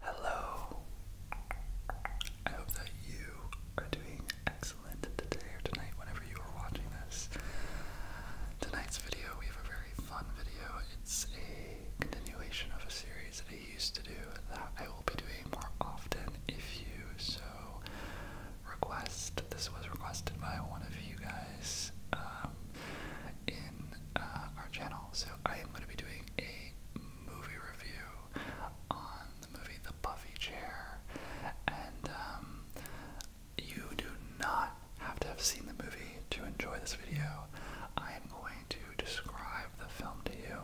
Hello. I hope that you are doing excellent today or tonight, whenever you are watching this. Tonight's video, we have a very fun video. It's a continuation of a series that I used to do that I will be doing more often if you so request. This was requested by one of you guys um, in uh, our channel, so I am going to be doing a movie review on the movie The Buffy Chair, and um, you do not have to have seen the movie to enjoy this video. I am going to describe the film to you.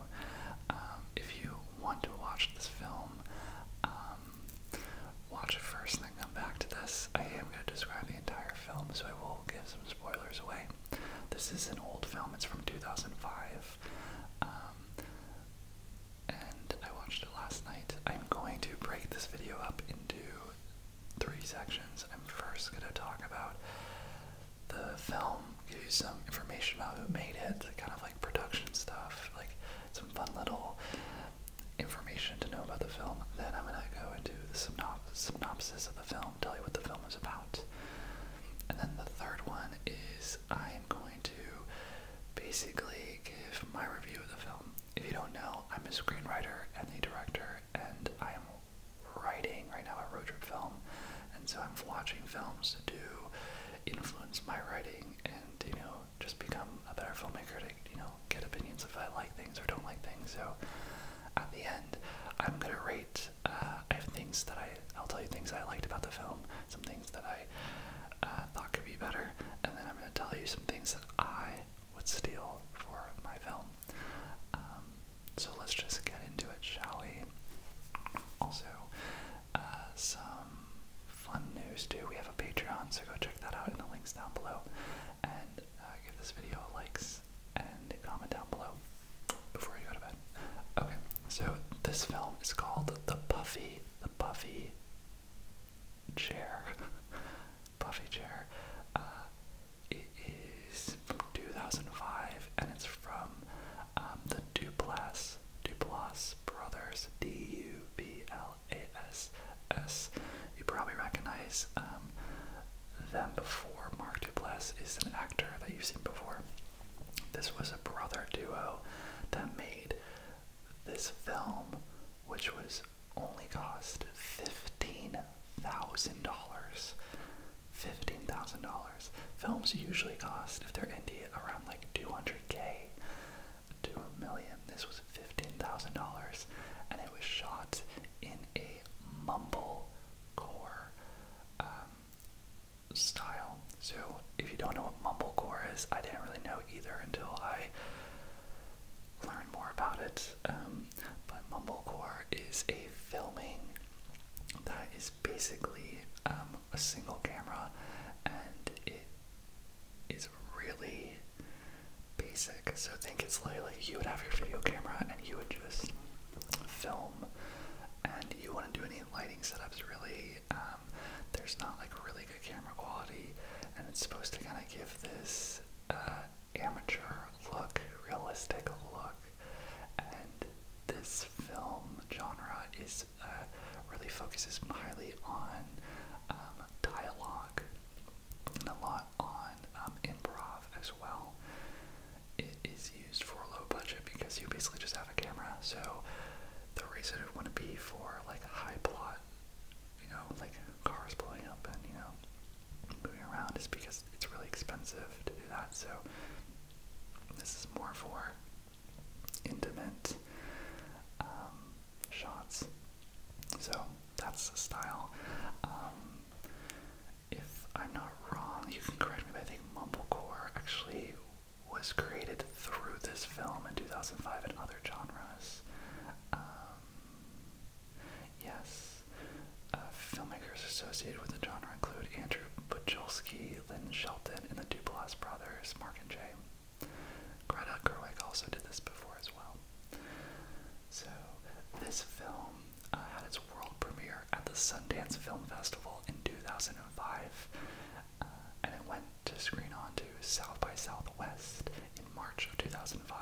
Um, if you want to watch this film, um, watch it first and come back to this. I am going to describe the entire film, so I will give some spoilers away. This is an old film, it's from 2005. Um, and I watched it last night. I'm going to break this video up into three sections. I'm first going to talk about the film, give you some information about who made it, kind of like production stuff, like some fun little information to know about the film. Then I'm going to go into the synops synopsis the film, tell you what the film is about. And then the third one is I am going to basically give my review of the film. If you don't know, I'm a screenwriter and the director, and I am writing right now a road trip film, and so I'm watching films to influence my writing and you know just become a better filmmaker to you know get opinions if I like things or don't like things. So at the end, I'm gonna rate uh, I have things that I, I'll tell you things I liked about the film, some things that I uh, thought could be better, and then I'm going to tell you some things that I would steal for my film. Um, so let's just get into it, shall we? Also, uh, some fun news too. We have a Patreon, so go check that out in the links down below. And give this video a likes and a comment down below before you go to bed. Okay, so this film is called The Puffy, The Puffy Chair. Puffy Chair. Uh, it is from 2005 and it's from um, the Duplass, Duplass Brothers, D-U-B-L-A-S-S. You probably recognize um, them before. Mark Duplass is an actor that you've seen before. This was a brother duo that made this film, which was only cost fifteen thousand dollars. Fifteen thousand dollars. Films usually cost, if they're indie, around like two hundred k to This was fifteen thousand dollars, and it was shot in a mumble core um, style. So, if you don't know what mumblecore is, I didn't really know either until I learned more about it. Um, but mumblecore is a filming that is basically um, a single camera, and it is really basic. So, think it's like, you would have your video camera and you would just film and you wouldn't do any lighting setups really. Um, there's not like really good camera quality and it's supposed to kind of give this uh, amateur look, realistic look. And this film genre is uh, really focuses highly on um, dialogue and a lot on um, improv as well it is used for low budget because you basically just have a camera. So the reason it wouldn't be for like a high plot, you know, like cars blowing up and you know moving around is because it's really expensive to do that. So this is more for intimate um, shots. So that's the style. Um, if I'm not wrong, you can correct me, but I think Mumblecore actually was created through this film in 2005 and other genres. Um, yes, uh, filmmakers associated with the genre include Andrew Bujolski, Lynn Shelton, and the Duplass brothers, Mark and Jay. Greta Gerwig also did this before as well. So, this film it uh, had its world premiere at the Sundance Film Festival in 2005, uh, and it went to screen on to South by Southwest in March of 2005,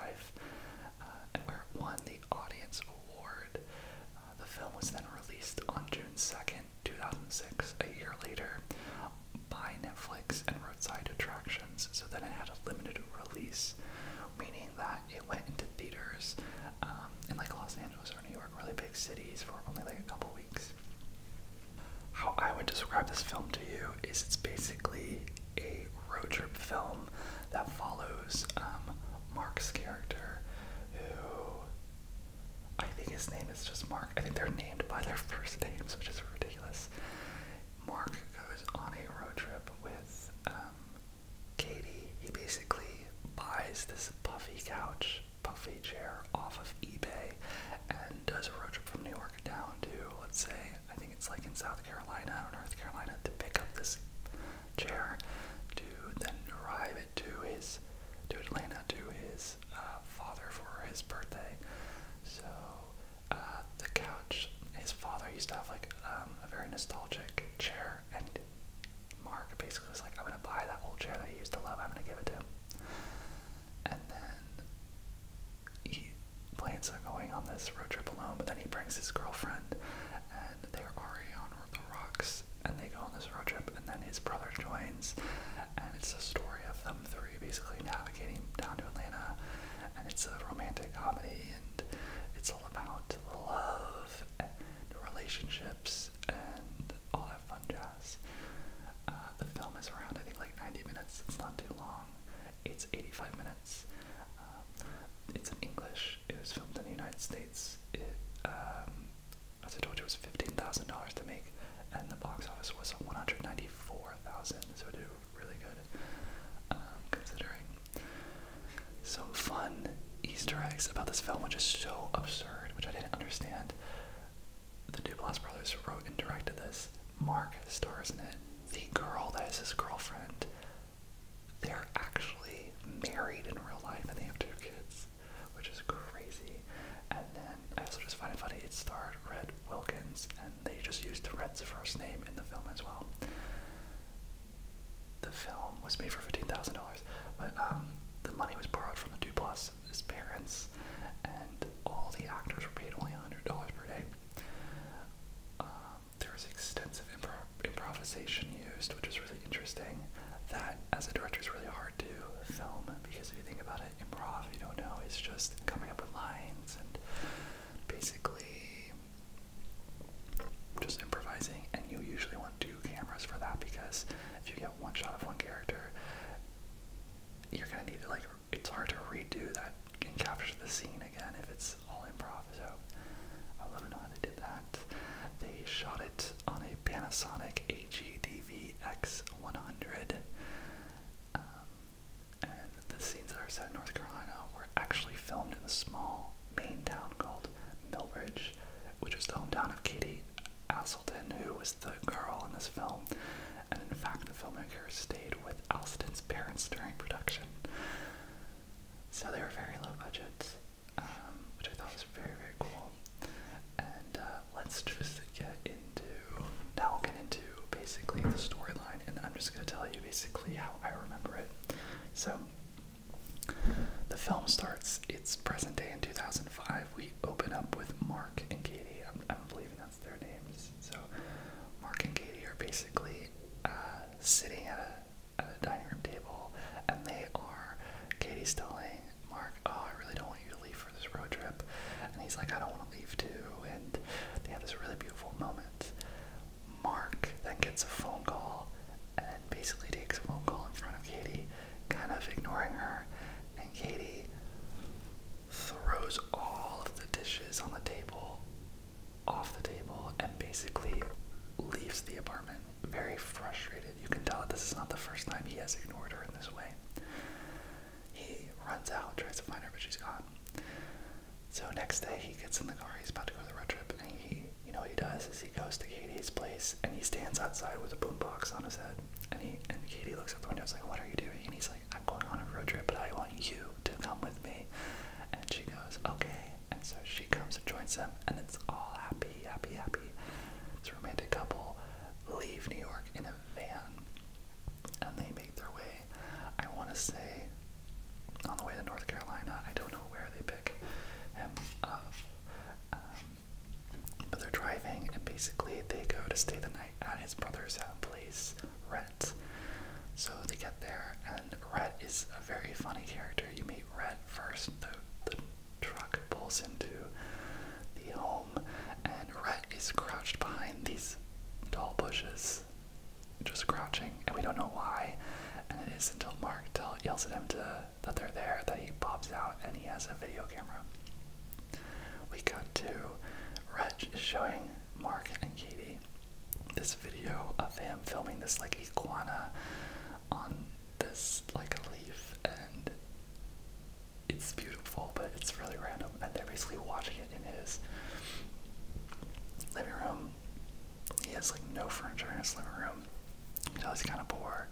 uh, and where it won the Audience Award. the film was then released on June 2nd, 2006, a year later, by Netflix and Roadside Attractions, so then it had a limited release, meaning that it went into theaters um, in like Los Angeles or New York really big cities for only like a couple weeks. How I would describe this film to you is it's basically a road trip film that follows um, Mark's character, who I think his name is just Mark. I think they're named by their first names, which is ridiculous. Mark goes on a road trip with um, Katie. He basically buys this puffy couch puffy chair off of eBay and does a road trip from New York down to, let's say, I think it's like in South Carolina or North Carolina to pick up this chair to then drive it to his, to Atlanta to his uh, father for his birthday. So uh, the couch, his father used to have like um, a very nostalgic chair chair, and Mark basically was like, I'm gonna buy that old chair that he used to love, I'm gonna give it to him. And then he plans on going on this road trip alone, but then he brings his girlfriend, and they're already on the rocks, and they go on this road trip, and then his brother joins, and it's a story of them three basically navigating down to Atlanta, and it's a romantic comedy, and it's all about love, and the relationship, and all that fun jazz. Uh, the film is around, I think, like 90 minutes. It's not too long. It's 85 minutes. Um, it's in English. It was filmed in the United States. It, um, as I told you, it was $15,000 to make, and the box office was 194000 so it did really good, um, considering. So fun Easter eggs about this film, which is so absurd, which I didn't understand. The Duplass brothers wrote and directed this. Mark stars in it. The girl that is his girlfriend, they're actually married in real life and they have two kids, which is crazy. And then I also just find it funny it starred Red Wilkins and they just used Red's first name in the film as well. The film was made for $15,000 dollars. But um, the money was borrowed from the Duplass, his parents, and all the actors were paid only hundred dollars per day. Um, there was extensive impro improvisation used, which was really interesting. That, as a director, is really hard to film because if you think about it, improv, you don't know, it's just coming up with lines and basically just improvising. And you usually want two cameras for that because if you get one shot of one character, you're gonna need like it's hard to redo that and capture the scene again if it's all improv. So I love how they did that. They shot it on a Panasonic AGDVX100, um, and the scenes that are set in North Carolina were actually filmed in a small Main town called Millbridge, which is the hometown of Katie As Castleton, who was the girl in this film, and in fact, the filmmakers stayed with Alston's parents during production. So they were very low budgets, um, which I thought was very, very cool. And uh, let's just get into. Now we will get into basically the storyline, and I'm just going to tell you basically how I remember it. So, the film starts, it's present day in 2005. 5, we open up with Mark and Katie. I'm, I'm believing that's their names. So, Mark and Katie are basically uh, sitting at a, at a dining room table, and they are. Katie's telling Mark, Oh, I really don't want you to leave for this road trip. And he's like, I don't want to leave too. And they have this really beautiful moment. Mark then gets a phone call and basically takes a phone call in front of Katie, kind of ignoring her. And Katie throws all of the dishes on the table, off the table, and basically leaves the apartment very frustrated. You can tell that this is not the first time he has ignored her in this way. He runs out, tries to find her, but she's gone. So next day he gets in the car, he's about to go on the road trip, and he, you know he does is he goes to Katie's place and he stands outside with a boombox on his head. And he and Katie looks at the window and is like, What are you doing? And he's like, I'm going on a road trip, but I want you to come with me. And she goes, Okay. And so she comes and joins him, and it's all happy, happy, happy. This romantic couple leave New York in a van and they make their way, I want to say, on the way to North Carolina. I don't know where they pick him up. Um, but they're driving, and basically they go to stay the night at his brother's uh, place, Rhett. So they get there, and Rhett is a very funny character. You meet Rhett first, the, the truck pulls into the home, and Rhett is crouched behind these tall bushes, just crouching, and we don't know why. And it is until Mark yells at him to that they're there, that he pops out and he has a video camera. We cut to Reg showing Mark and Katie this video of him filming this like iguana on this like a leaf and it's beautiful but it's really random and they're basically watching it in his living room. He has like no furniture in his living room. You know he's kinda poor.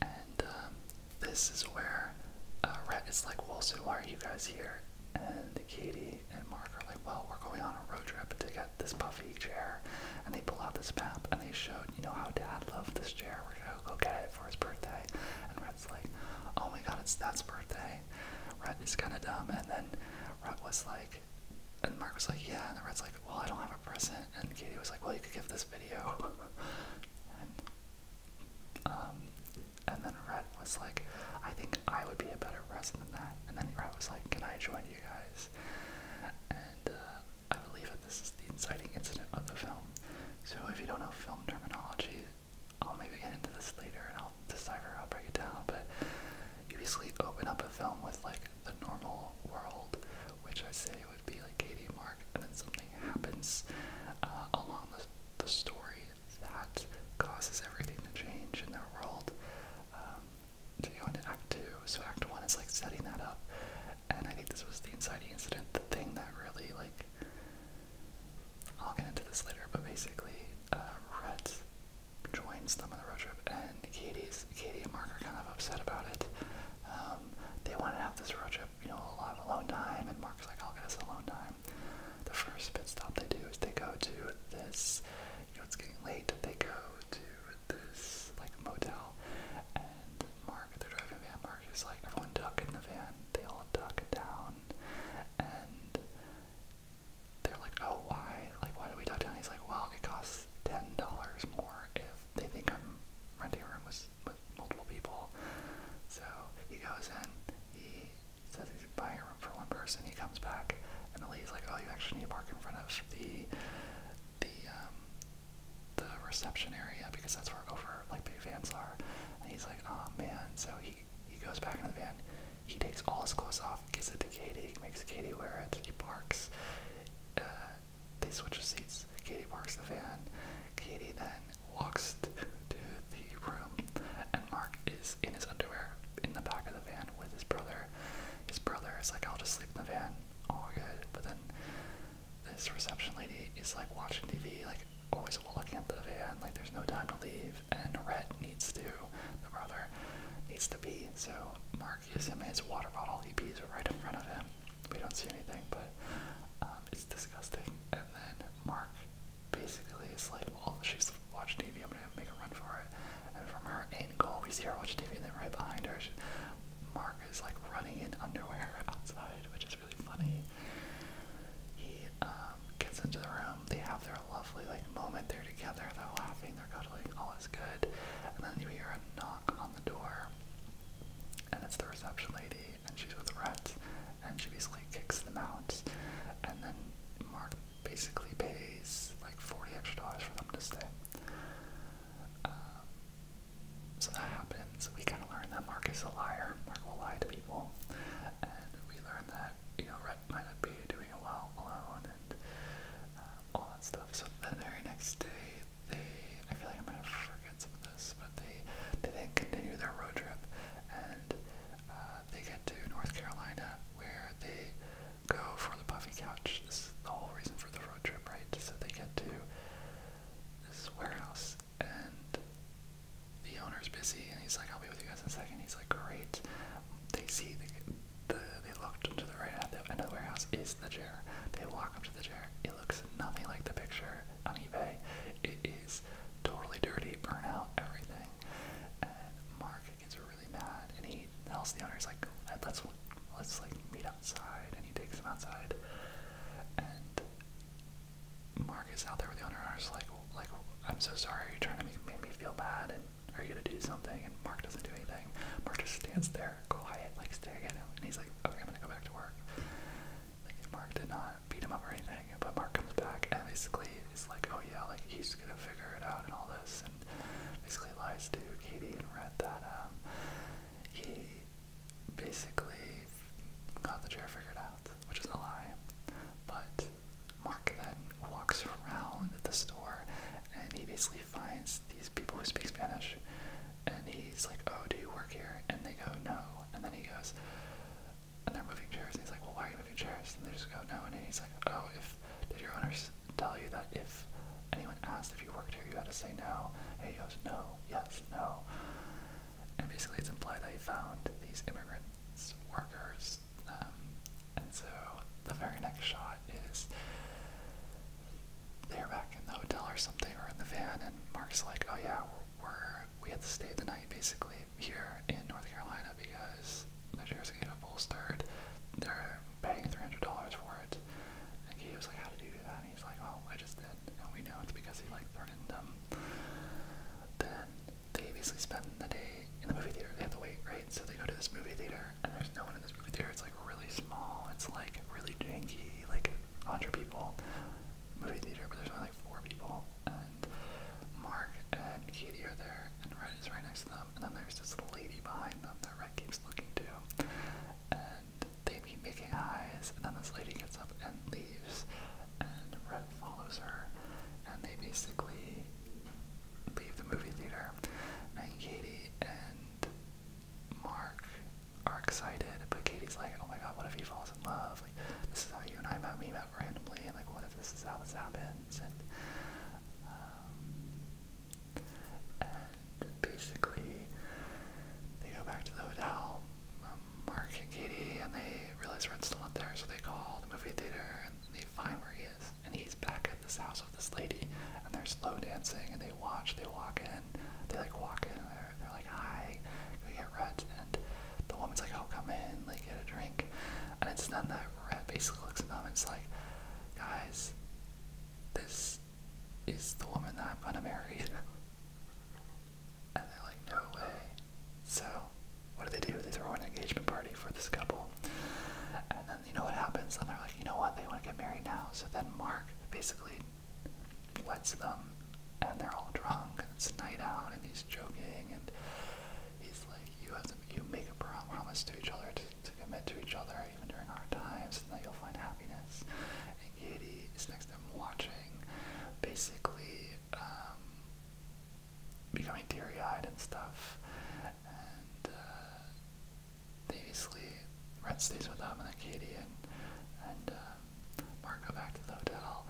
And um, this is where uh, is like, well, so why are you guys here? And Katie and Mark are like, well, we're going on a road trip to get this puffy chair. And they pull out this map and they showed, you know, how Dad loved this chair. We're gonna go get it for his birthday. And Rhett's like, oh my God, it's Dad's birthday. Rhett is kind of dumb. And then Rhett was like, and Mark was like, yeah. And Rhett's like, well, I don't have a present. And Katie was like, well, you could give this video Um, and, then Red was like, I think I would be a better person than that. And then Red was like, Can I join you guys? And uh, I believe that this is the inciting incident of the film. So if you don't know film terminology, I'll maybe get into this later and I'll decipher, I'll break it down. But you basically open up a film with like the normal world, which I say be like Katie and Mark, and then something happens uh, along the, story that causes everything to change in their world. to um, go into Act Two, so Act One is like setting that up, and I think this was the inciting incident, the thing that really like. I'll get into this later, but basically, uh, Rhett joins them on the road trip, and Katie's Katie and Mark are kind of upset about it. Um, they want to have this road trip you know, a lot of alone time, and Mark's like, I'll get us alone time. The first pit stop they do is they go to this, you know, it's getting late, they go to this, like, motel, and Mark, they're driving a van, Mark is like, everyone duck in the van, they all duck down, and they're like, oh, why? Like, why do we duck down? He's like, well, it costs $10 more if they think I'm renting a room with this with multiple people. So he goes in, he says he's buying a room for one person. He comes back, and the lady's like, "Oh, you actually need to park in front of the the um, the reception area because that's where over like big vans are." And he's like, "Oh man!" So he he goes back in the van. He takes all his clothes off, gives it to Katie, makes Katie wear it. He parks. Uh, they switch seats. Katie parks the van. Katie then walks to the room, and Mark is in his underwear in the back of the van with his brother. His brother is like, I'll just sleep in the van, all good. But then this reception lady is like watching TV, like always looking at the van, like there's no time to leave. And Rhett needs to, the brother, needs to be. So Mark is him his water bottle, he pees right in front of him we don't see anything, but um, it's disgusting. And then Mark basically is like, well, she's watching TV, I'm gonna make a run for it. And from her angle, we see her watching TV, and then right behind her, she, Mark is like running in underwear outside, which is really funny. He um, gets into the room, they have their lovely like moment, they're together, they're laughing, they're cuddling, all is good. And then you hear a knock on the door, and it's the reception lady, and she's with the rats, and she basically kicks them out. And then Mark basically pays like 40 extra dollars for them to stay. Um, so that happens. We kind of learn that Mark is a liar. Mark will lie to people. And we learn that, you know, Rhett might not be doing well alone and um, all that stuff. So the very next day, they I feel like I'm gonna forget some of this, but they they then continue their road trip and uh, they get to North Carolina where they go for the puffy couch. This is the whole reason for the road trip, right? So they get to this warehouse and the owner's busy and he's like, I'll be with you guys in a second. He's like, great. They see the, they look to the right at the of the warehouse is the chair. They walk up to the chair. It looks nothing like the picture on eBay. It is totally dirty, burn out, everything. And Mark gets really mad, and he tells the owners like, "Let's let's like meet outside," and he takes them outside. And Mark is out there with the owner, and is like, "Like, I'm so sorry. Are you trying to make, make me feel bad?" And are you gonna do something? And Mark doesn't do anything. Mark just stands there, quiet, like staring at him, and he's like, "Okay, I'm gonna go back to work." Like Mark did not beat him up or anything, but Mark comes back and basically is like, oh yeah, like he's gonna figure it out and all this, and basically lies to Katie and Red that um, he basically got the chair figured out, which is a lie. But Mark then walks around the store and he basically finds these people who speak Spanish and he's like, "Oh, do you work here?" And they go, "No." And then he goes, and they're moving chairs. And he's like, "Well, why are you moving chairs?" And they just go, "No." And he's like, "Oh, if did your owners tell you that if anyone asked if you worked here, you had to say no?" And he goes, "No, yes, no." And basically, it's implied that he found these immigrants workers. Um, and so the very next shot is they're back in the hotel or something or in the van, and Mark's like, "Oh yeah, were we had to stay the night basically here in North Carolina because the shares gave up bolstered. They're paying three hundred dollars for it. And he was like, How did you do that? And he's like, Oh, I just did and we know it's because he like threatened them. Then they basically spend the day in the movie theater. They have to wait, right? So they go to this movie theater and there's no one in this movie theater. It's like really small. It's like really janky, like hundred people movie theater, but there's only like four people, and Mark and Katie are there, and Red is right next to them, and then there's this lady behind them that Red keeps looking to, and they keep making eyes, and then this lady gets up and leaves, and Red follows her, and they basically leave the movie theater, and Katie and Mark are excited, but Katie's like, oh my god, what if he falls in love? Like, this is how you and I met. We met randomly, and like, what if this is how this happens? And, um, and basically, they go back to the hotel, um, Mark and Katie, and they realize Red's still not there, so they call the movie theater and they find where he is. And he's back at this house with this lady, and they're slow dancing, and they watch, they walk in, and they like walk in there. They're like, "Hi, we get Rhett," and the woman's like, "Oh, come in, like get a drink." And it's then that Rhett basically looks at them and it's like, "Guys, this is the woman that I'm gonna marry." and they're like, "No way." So, what do they do? They throw an engagement party for this couple, and then you know what happens? And they're like, "You know what? They want to get married now." So then Mark basically lets them, and they're all drunk, and it's night out, and he's joking, and he's like, you have to, you make a promise to each other to, to commit to each other even during hard times, and that you'll find happiness. And Katie is next to him watching, basically um, becoming teary-eyed and stuff, and. Uh, they basically Red stays with them and then Katie and and uh, Mark got back to the hotel,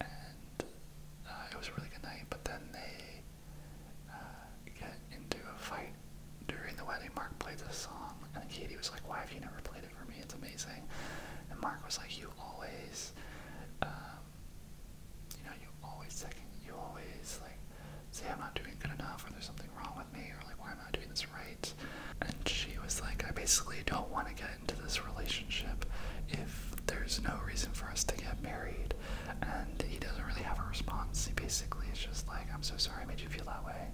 and uh, it was a really good night. But then they uh, get into a fight during the wedding. Mark played this song, and Katie was like, "Why have you never played it for me? It's amazing." And Mark was like, "You always, um, you know, you always second, you always like say I'm not doing good enough, or there's something wrong with me, or like why am I not doing this right. And she was like, I basically don't want to get into this relationship if there's no reason for us to get married. And he doesn't really have a response. He basically is just like, I'm so sorry I made you feel that way.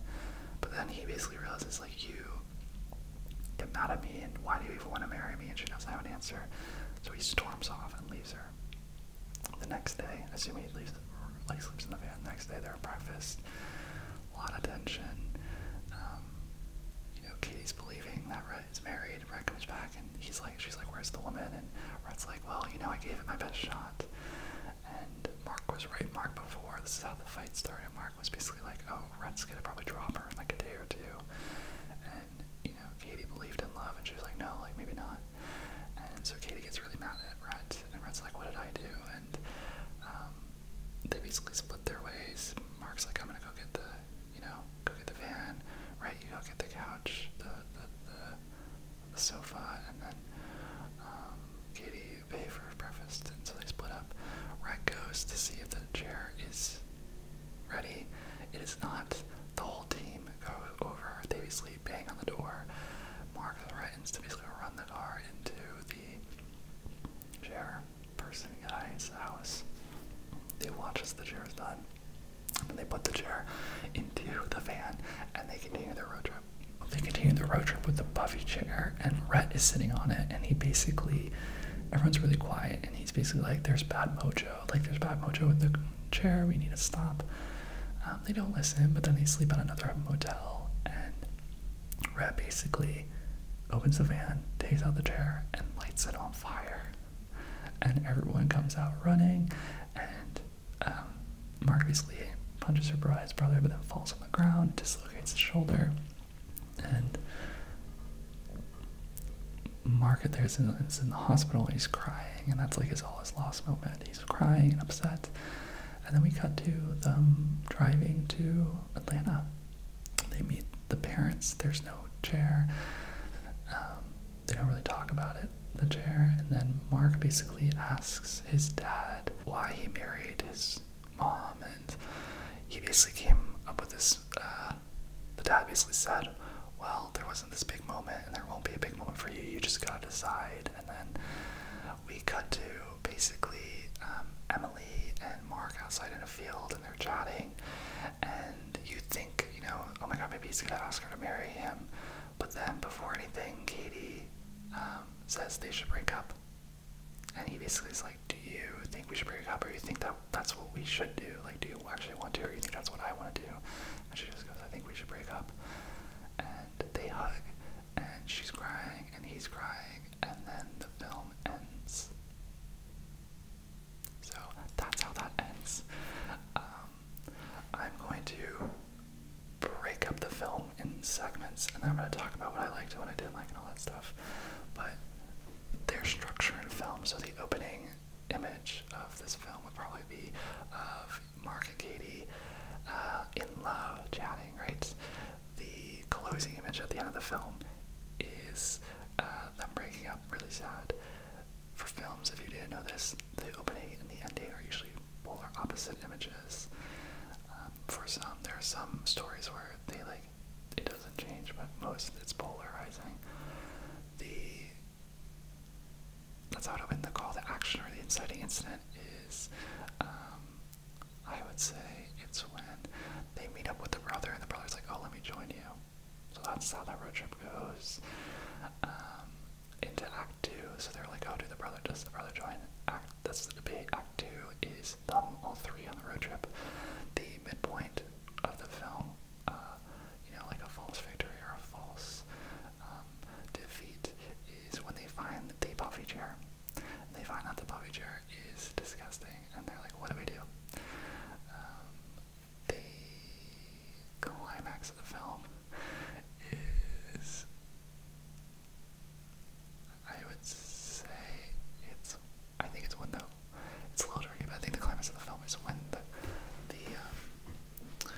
But then he basically realizes, like, you get mad at me and why do you even want to marry me? And she doesn't have an answer. So he storms off and leaves her. The next day, assuming he leaves, like sleeps in the van. next day, they're at breakfast. A lot of tension. Um, you know, Katie's believing that Rhett is married, and Rhett comes back and he's like, she's like, where's the woman? And Rhett's like, well, you know, I gave it my best shot. And Mark was right, Mark before, this is how the fight started. Mark was basically like, oh, Rhett's gonna probably drop her in like a day or two. And, you know, Katie believed in love, and she was like, no, like, maybe not. And so Katie gets really mad at Rhett, and Rhett's like, what did I do? And, um, they basically split their ways. Mark's like, I'm gonna go get the, you know, go get the van, right? You go get the couch, the the, the, sofa, and then um, Katie you pay for breakfast. And so they split up. Right goes to see if the chair is ready. It is not. The whole team go over. They basically bang on the door. Mark threatens to basically run the car into the chair person guy's house. They watch as the chair is done. And they put the chair into the van and they continue their road trip. They continue the road trip with the Buffy chair, and Rhett is sitting on it, and he basically, everyone's really quiet, and he's basically like, "There's bad mojo, like there's bad mojo in the chair. We need to stop." Um, they don't listen, but then they sleep at another motel, and Rat basically opens the van, takes out the chair, and lights it on fire. And everyone comes out running, and um, Mark basically punches her bride's brother, but then falls on the ground, dislocates his shoulder, and Mark there is in, is in the hospital he's crying, and that's like his all his lost moment. He's crying and upset. And then we cut to them driving to Atlanta. They meet the parents, there's no chair. Um, they don't really talk about it, the chair. And then Mark basically asks his dad why he married his mom. And he basically came up with this. Uh, the dad basically said, Well, there wasn't this big moment, and there won't be a big moment for you. You just gotta decide. And then we cut to basically um, Emily and Mark outside in a field involved and they're chatting and you think, you know, oh my god, maybe he's gonna ask her to marry him. But then before anything, Katie um, says they should break up. And he basically is like, Do you think we should break up or you think that that's what we should do? Like, do you actually want to or you think that's what I want to do? And she just goes, I think we should break up. And they hug and she's crying and he's crying and then the film ends. So that's how that ends. Um, I'm going to break up the film in segments, and I'm going to talk about what I liked, what I didn't like, and all that stuff. But there's structure in film, so the opening image of this film would probably be of Mark and Katie uh, in love, chatting, right? the closing image at the end of the film is uh, them breaking up. Really sad. For films, if you didn't know this, the opening and the ending are usually polar opposite images. Um, for some, there are some stories where they like it doesn't change, but most it's polarizing. The that's how to win the call to action or the inciting incident is um, I would say it's when they meet up with the brother and the brother's like, oh, let me join you. So that's how that road trip goes. Um, into Act 2, so they're like, oh, do the brother, does the brother join? Act, that's the debate. Act 2 is them all three on the road trip. The midpoint of the film, uh, you know, like a false victory or a false um, defeat, is when they find the puffy chair. They find out the puffy chair is disgusting, and they're like, what do we do? Um, the climax of the film is, I would say, it's, I think it's when the, it's a but I think the climax of the film is when the, the, um,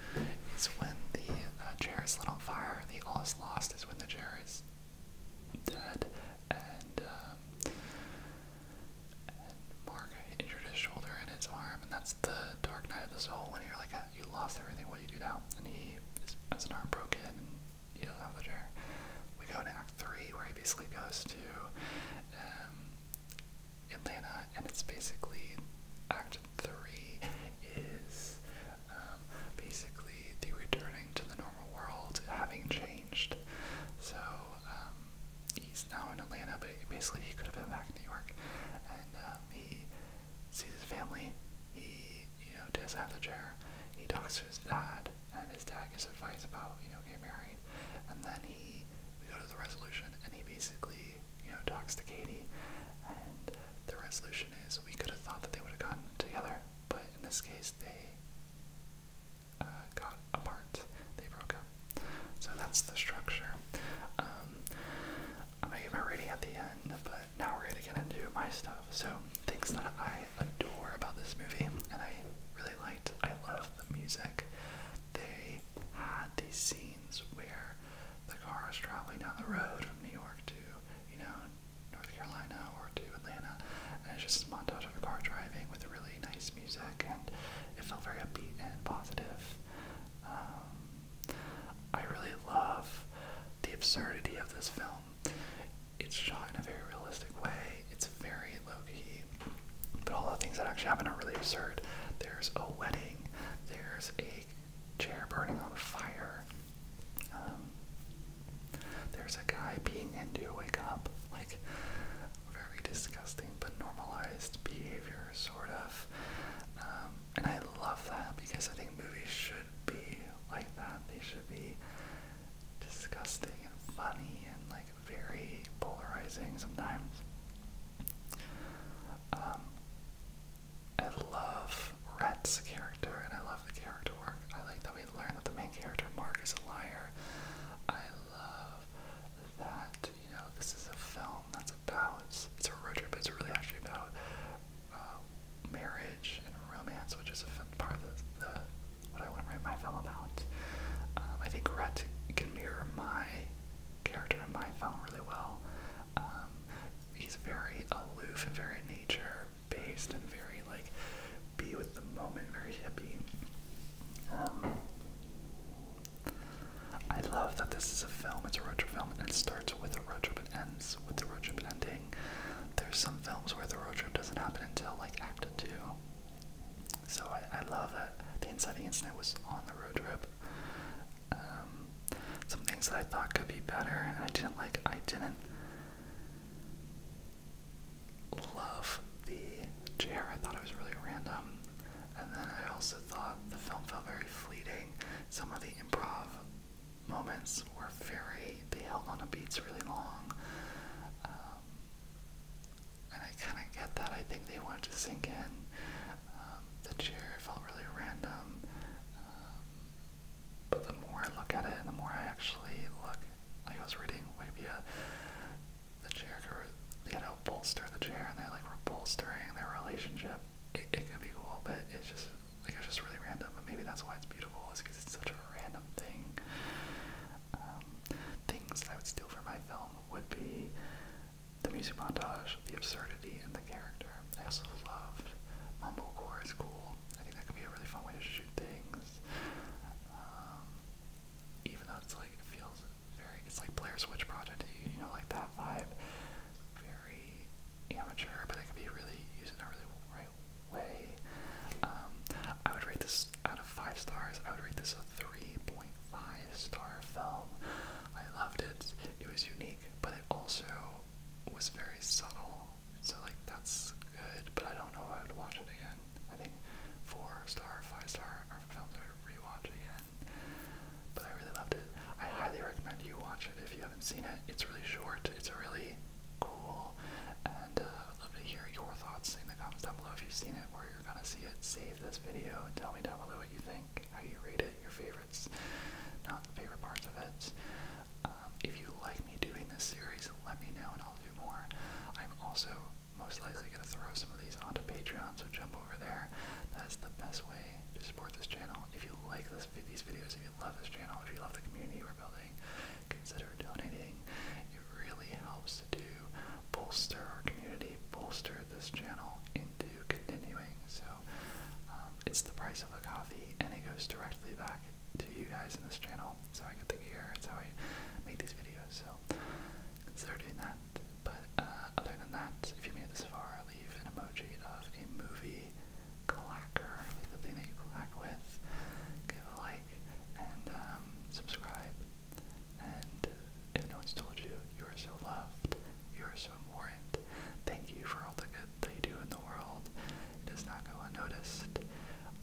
when the uh, chair is lit on fire, the all is lost is when the chair is dead, and, um, and Mark injured his shoulder and his arm, and that's the dark night of the soul. When you're like, ah, you lost everything, what do you do now? And he has an arm broken, and he doesn't have the chair. We go to Act Three, where he basically goes to um, Atlanta, and it's basically Act Three is um, basically the returning to the normal world, having changed changed. So um, he's now in Atlanta, but basically he could have been back in New York. And um, he sees his family. He, you know, does have the chair. He talks to his dad, and his dad gives advice about, you know, getting married. And then he, we go to the resolution, and he basically, you know, talks to Katie. And the resolution is we could have thought that they would have gotten together, but in this case, they uh, got apart. They broke up. So that's the structure. Um, I'm already at the end, but now we're gonna get into my stuff. So things that I adore about this movie, and I really liked. I love the music. They had these scenes where the car is traveling down the road from New York to, you know, North Carolina or to Atlanta, and it's just a montage of a car driving with really nice music, and it felt very upbeat and positive. Um, I really love the absurdity of this film. It's shot in a very realistic way. It's very low key, but all the things that actually happen are really absurd. There's a wedding. There's a chair burning on fire. Um, there's a guy being into a wake up. Like very disgusting but normalized behavior, sort of. Um, and I love that because I think movies should be like that. They should be disgusting and funny and like very polarizing sometimes. Um, I love Rat's character and I love the character work. I like that we learn that the main character, Mark, is a liar. I love that, you know, this is a film that's about, it's, it's a road trip, but it's really actually about uh, marriage and romance, which is a part of the, what I want to write my film about. Um, I think Rhett can mirror my character in my film really well. Um, he's very aloof and very nature based and very like be with the moment, very hippie. Um, I love that this is a film, it's a road trip film, and it starts with a road trip and ends with a road trip ending. There's some films where the road trip doesn't happen until like Act 2. So I, love that the inciting incident was on the road trip. Um, some things that I thought could be better and I didn't like, I didn't love the chair. I thought it was really random. And then I also thought the film felt very fleeting. Some of the improv moments were very, they held on to beats really long. Um, and I kind of get that. I think they wanted to sink in. Um, the chair felt really random. Um, but the more I look at it and the more I actually look, like I was reading Wikipedia, the chair, character, you know, bolster the chair, and they like were bolstering their relationship. It, it could be cool, but it's just like it's just really random. But maybe that's why it's beautiful, is because it's such a random thing. Um, things I would steal from my film would be the music montage, the absurdity, and the character. I also loved Mumblecore is cool. I think that could be a really fun way to shoot things. Um, even though it's like it feels very it's like Blair Switch Project, you know, like that vibe, very amateur, but it can be really used in a really right way. Um, I would rate this out of five stars. I would rate this a three point five star film. I loved it. It was unique, but it also was very subtle. So like that's good, but I don't know if I would watch it again. I think four star, five star films I rewatch again. But I really loved it. I highly recommend you watch it if you haven't seen it. It's really short. It's really cool. And uh, I'd love to hear your thoughts in the comments down below if you've seen it or you're gonna see it. Save this video and tell me down below what you think, how you rate it, your favorites, not favorite parts of it. Um, if you like me doing this series, let me know and I'll do more. I'm also most likely going to throw some of these onto Patreon, so jump over there. That's the best way to support this channel. If you like these videos, if you love this channel, if you love the community we're building, consider donating. It really helps to bolster our community, bolster this channel into continuing. So um, it's the price of a coffee, and it goes directly back to you guys in this channel. So I get the gear. It's how I make these videos. So so we that. But uh, other than that, if you made this far, leave an emoji of any movie clacker, that you clack with. Give a like and um, subscribe. And if no one's told you, you are so loved. You are so important. Thank you for all the good that you do in the world. It does not go unnoticed.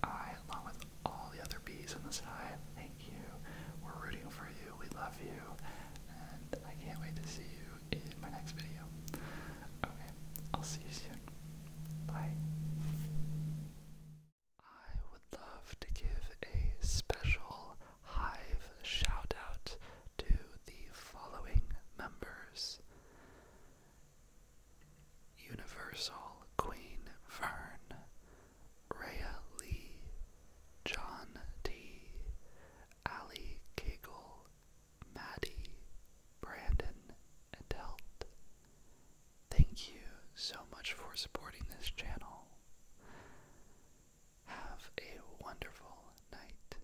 I, along with all the other bees in the sky, thank you. We're rooting for you. We love you. And I can't wait to see you in my next video. Okay, I'll see you soon. Bye. I would love to give a special Hive shout out to the following members Universal Queen Fern. Rhea Lee, John T, Ali Cagle, Maddie, Brandon, Adelt. Thank you so much for supporting this channel. Have a wonderful night.